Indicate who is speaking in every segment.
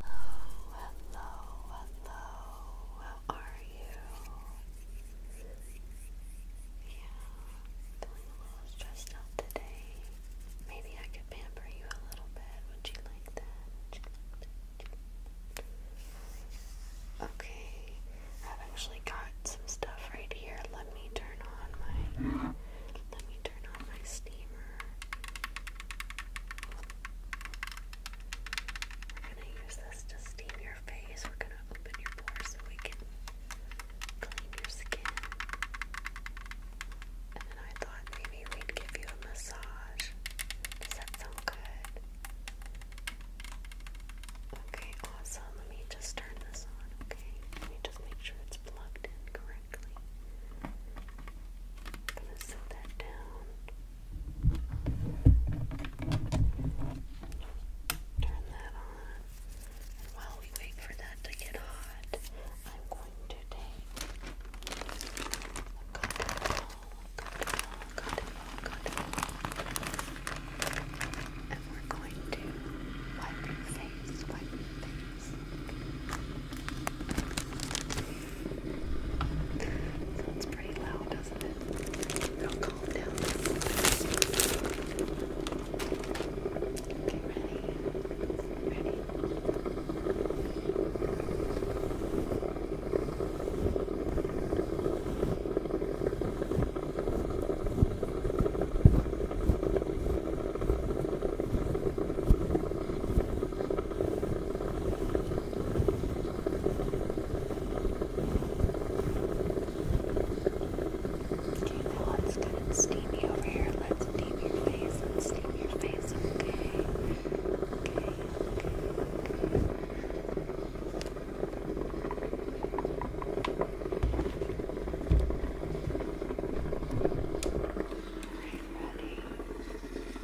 Speaker 1: hello, hello. How are you? Yeah, feeling a little stressed out today. Maybe I could pamper you a little bit. Would you like that? Okay, I've actually got some stuff right here. Let me turn on my turn on my steamer. We're gonna use this to steam your face. We're gonna open your pores so we can clean your skin. And then I thought maybe we'd give you a massage. Does that sound good? Okay, awesome. Let me just turn this on, okay? Let me just make sure it's plugged in correctly. I'm gonna sew that down. Turn that on. And while we wait for that to get hot, I'm going to take a cotton ball, cotton ball, cotton ball, cotton ball. And we're going to wipe your face, wipe your face. Sounds pretty loud, doesn't it? I'll oh, calm down Okay, now let's get and steam you over here. Let's steam your face and steam your face, okay? Okay, okay, okay. Alright, ready? Okay.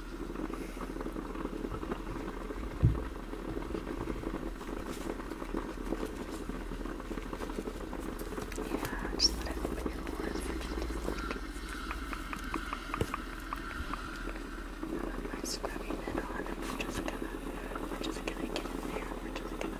Speaker 1: Yeah, just let it open your pores. And with my scrubbing it on, and we're just gonna, we're just gonna get in there. We're just gonna.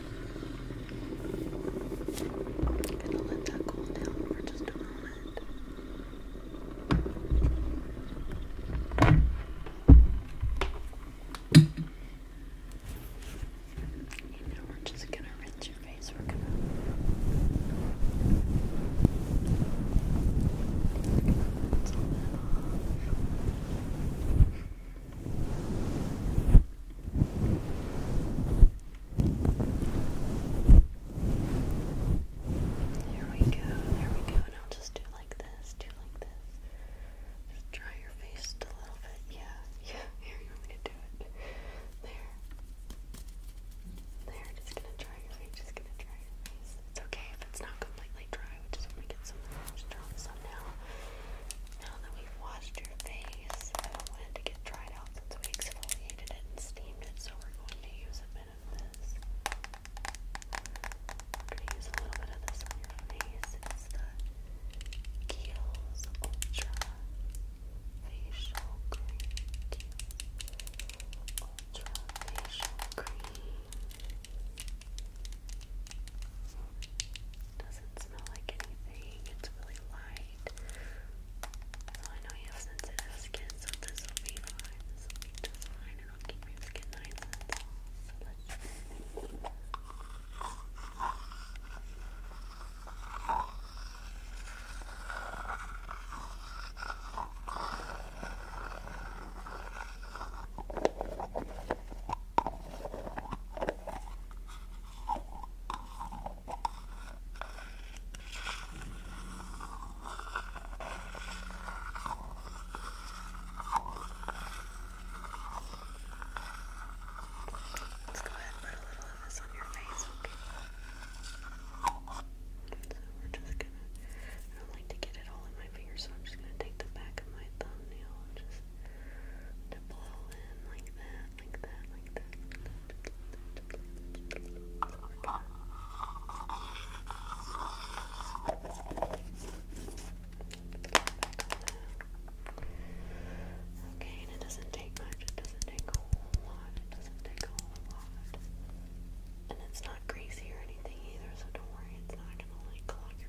Speaker 1: I'm gonna let that cool down for just a moment. And now we're just gonna rinse your face. We're gonna there we go, there we go. And I'll just do like this, do like this. Just dry your face a little bit. Yeah, yeah. Here, you want me to do it? There. There, just gonna dry your face, just gonna dry your face. It's okay if it's not completely dry, just want to get some of moisture on now, now that we've washed your face, I do to get dried out since we exfoliated it and steamed it, so we're going to use a bit of this. We're going to use a little bit of this on your face. It's the Kiehl's Ultra Facial Cream. Ultra Facial Cream. Doesn't smell like anything moving, it's really light. I know you have sensitive skin, so this will be fine. This will be just fine. It'll keep your skin nice Let's go ahead and put a little of this on your face, okay? So we're just gonna, I don't like to get it all in my fingers, so I'm just gonna take the back of my thumbnail and just to blow in like that like that, Okay, and it doesn't take much, it doesn't take a whole lot, it doesn't take a whole lot. And it's not greasy or anything either, so don't worry, it's not gonna like clog your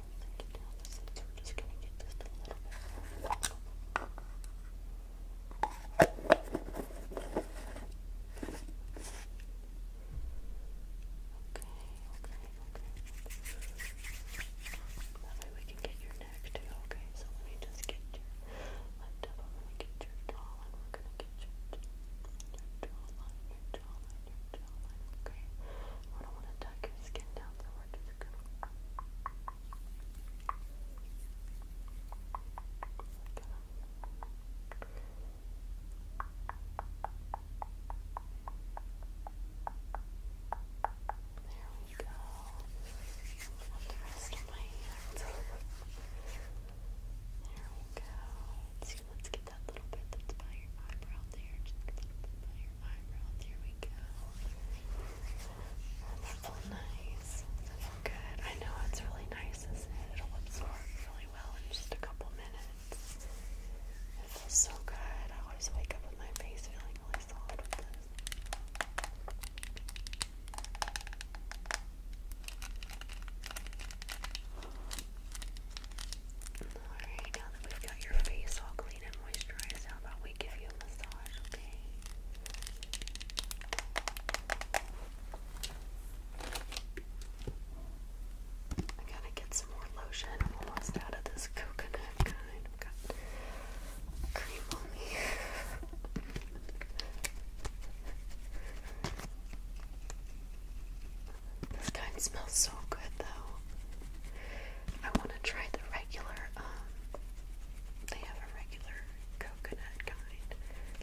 Speaker 1: thinking now Okay, okay, okay. That way we can get your neck okay? So let me just get your left up, i get your jawline, we're gonna get your, your jawline, your jawline, your jawline jawline, okay? I don't want to tuck your skin down, so we're just gonna there we go. the rest of my hands. there we go. let let's get that little bit that's by your eyebrow there your eyebrow. we go. That'll nice. That'll good. I know it's really nice, isn't it? It'll absorb really well in just a couple minutes. It feels so good. I always wake up with my face feeling really solid with this. Alright, now that we've got your face all clean and moisturized, how about we give you a massage, okay? I gotta get some more lotion. I'm almost out of this coconut kind. I've got cream on me. this kind smells so good, though. I want to try the regular, um, they have a regular coconut kind,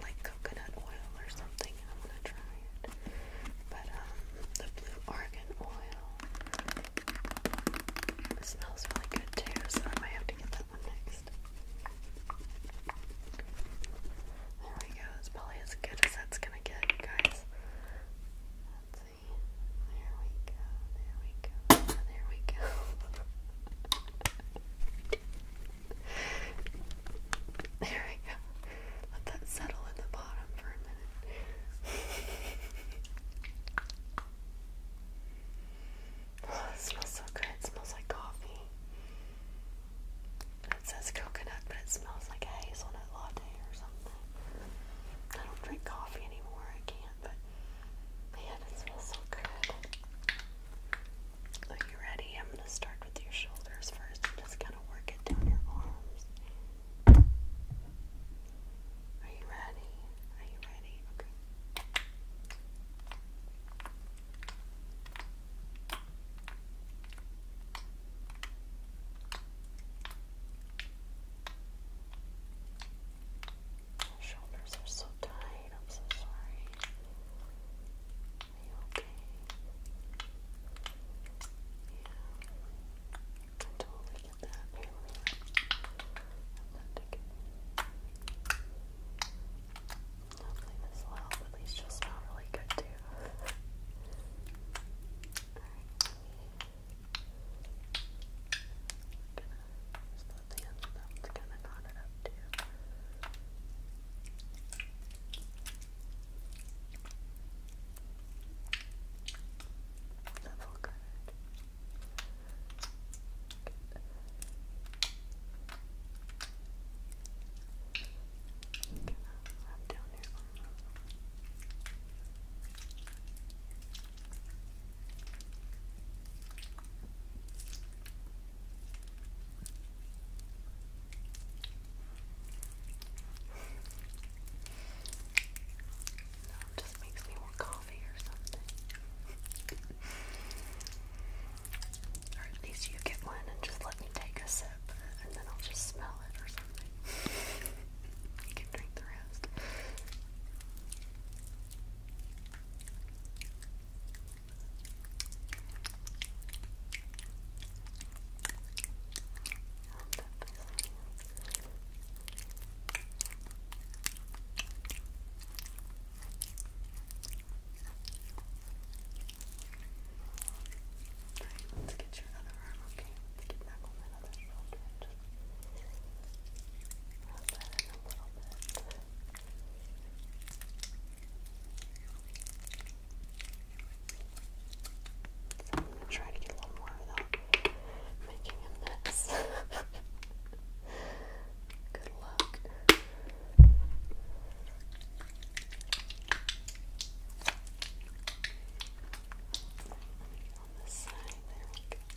Speaker 1: like coconut oil or something. I want to try it. But, um, the blue argan oil smells really good too, so I might have to get that one next. There we go. It's probably as good as that's gonna get, guys. There we go. There we go. There we go. there we go. Let that settle in the bottom for a minute. oh, it smells so good. smells like coffee. It says coconut, but it smells like a hazelnut latte or something. I don't drink coffee anymore, I can't, but man, it smells so good. Are you ready? I'm going to start with your shoulders first and just kind of work it down your arms. Are you ready? Are you ready? Okay. My shoulders are so tight. I'm so sorry. Are you okay? Yeah. I totally get that. Here, Hopefully this will help. At least you'll smell really good too. Alright, let me not the end of them, gonna knot it up too. Level good. good. I'm down here no, just makes me want coffee or something. or at least you get one and just let me take a sip and then I'll just smell it you can drink the rest. Alright, let's get your other arm, okay? Let's get back over I'm going to try to get a little more without making a Good luck on the side. There we go. Okay.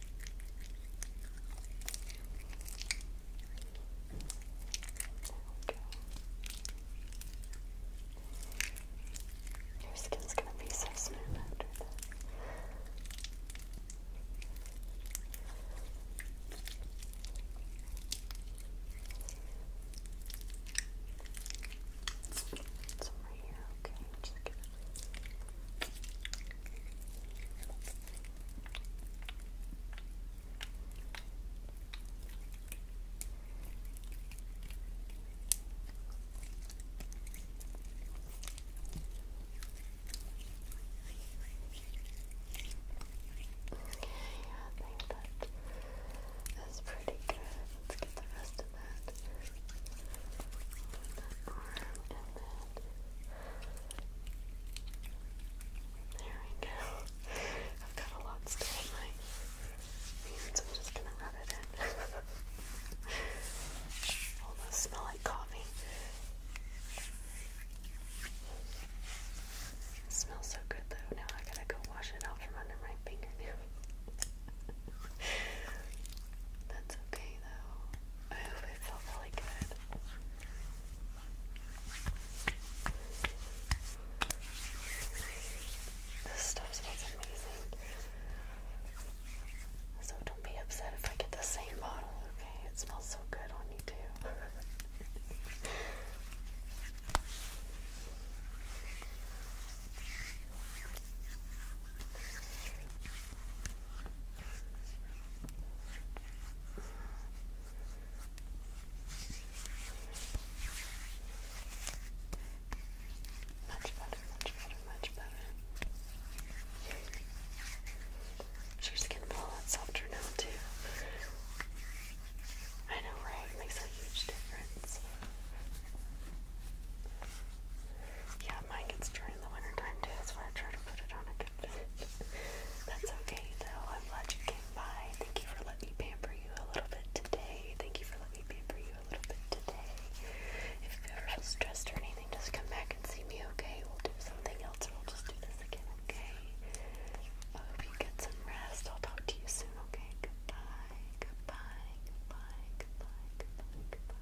Speaker 1: Your skin's gonna be so smooth after this. It's over here, okay? Just get I think that is pretty good. Let's get the rest of that. There we go. I've got a lot still in my hands. I'm just gonna rub it in. Almost smell like coffee. smells so good though. Now I gotta go wash it out from under my fingernail. That's okay though move. It felt really good. This stuff smells amazing. So don't be upset if I get the same bottle, okay? It smells so good on you too. Much better, much better, much better. Sure, skin a lot softer now too. I know, right? makes a huge difference. Yeah, mine gets dry in the wintertime too. That's I try to put it on a covering. That's okay though. I'm glad you came by. Thank you for letting me pamper you a little bit today. Thank you for letting me pamper you a little bit today. If you ever feel stressed or anything, just come back and see me, okay? We'll do something else or we'll just do this again, okay? I hope you get some rest. I'll talk to you soon, okay? Goodbye. Goodbye. Goodbye. Goodbye. Goodbye. Goodbye.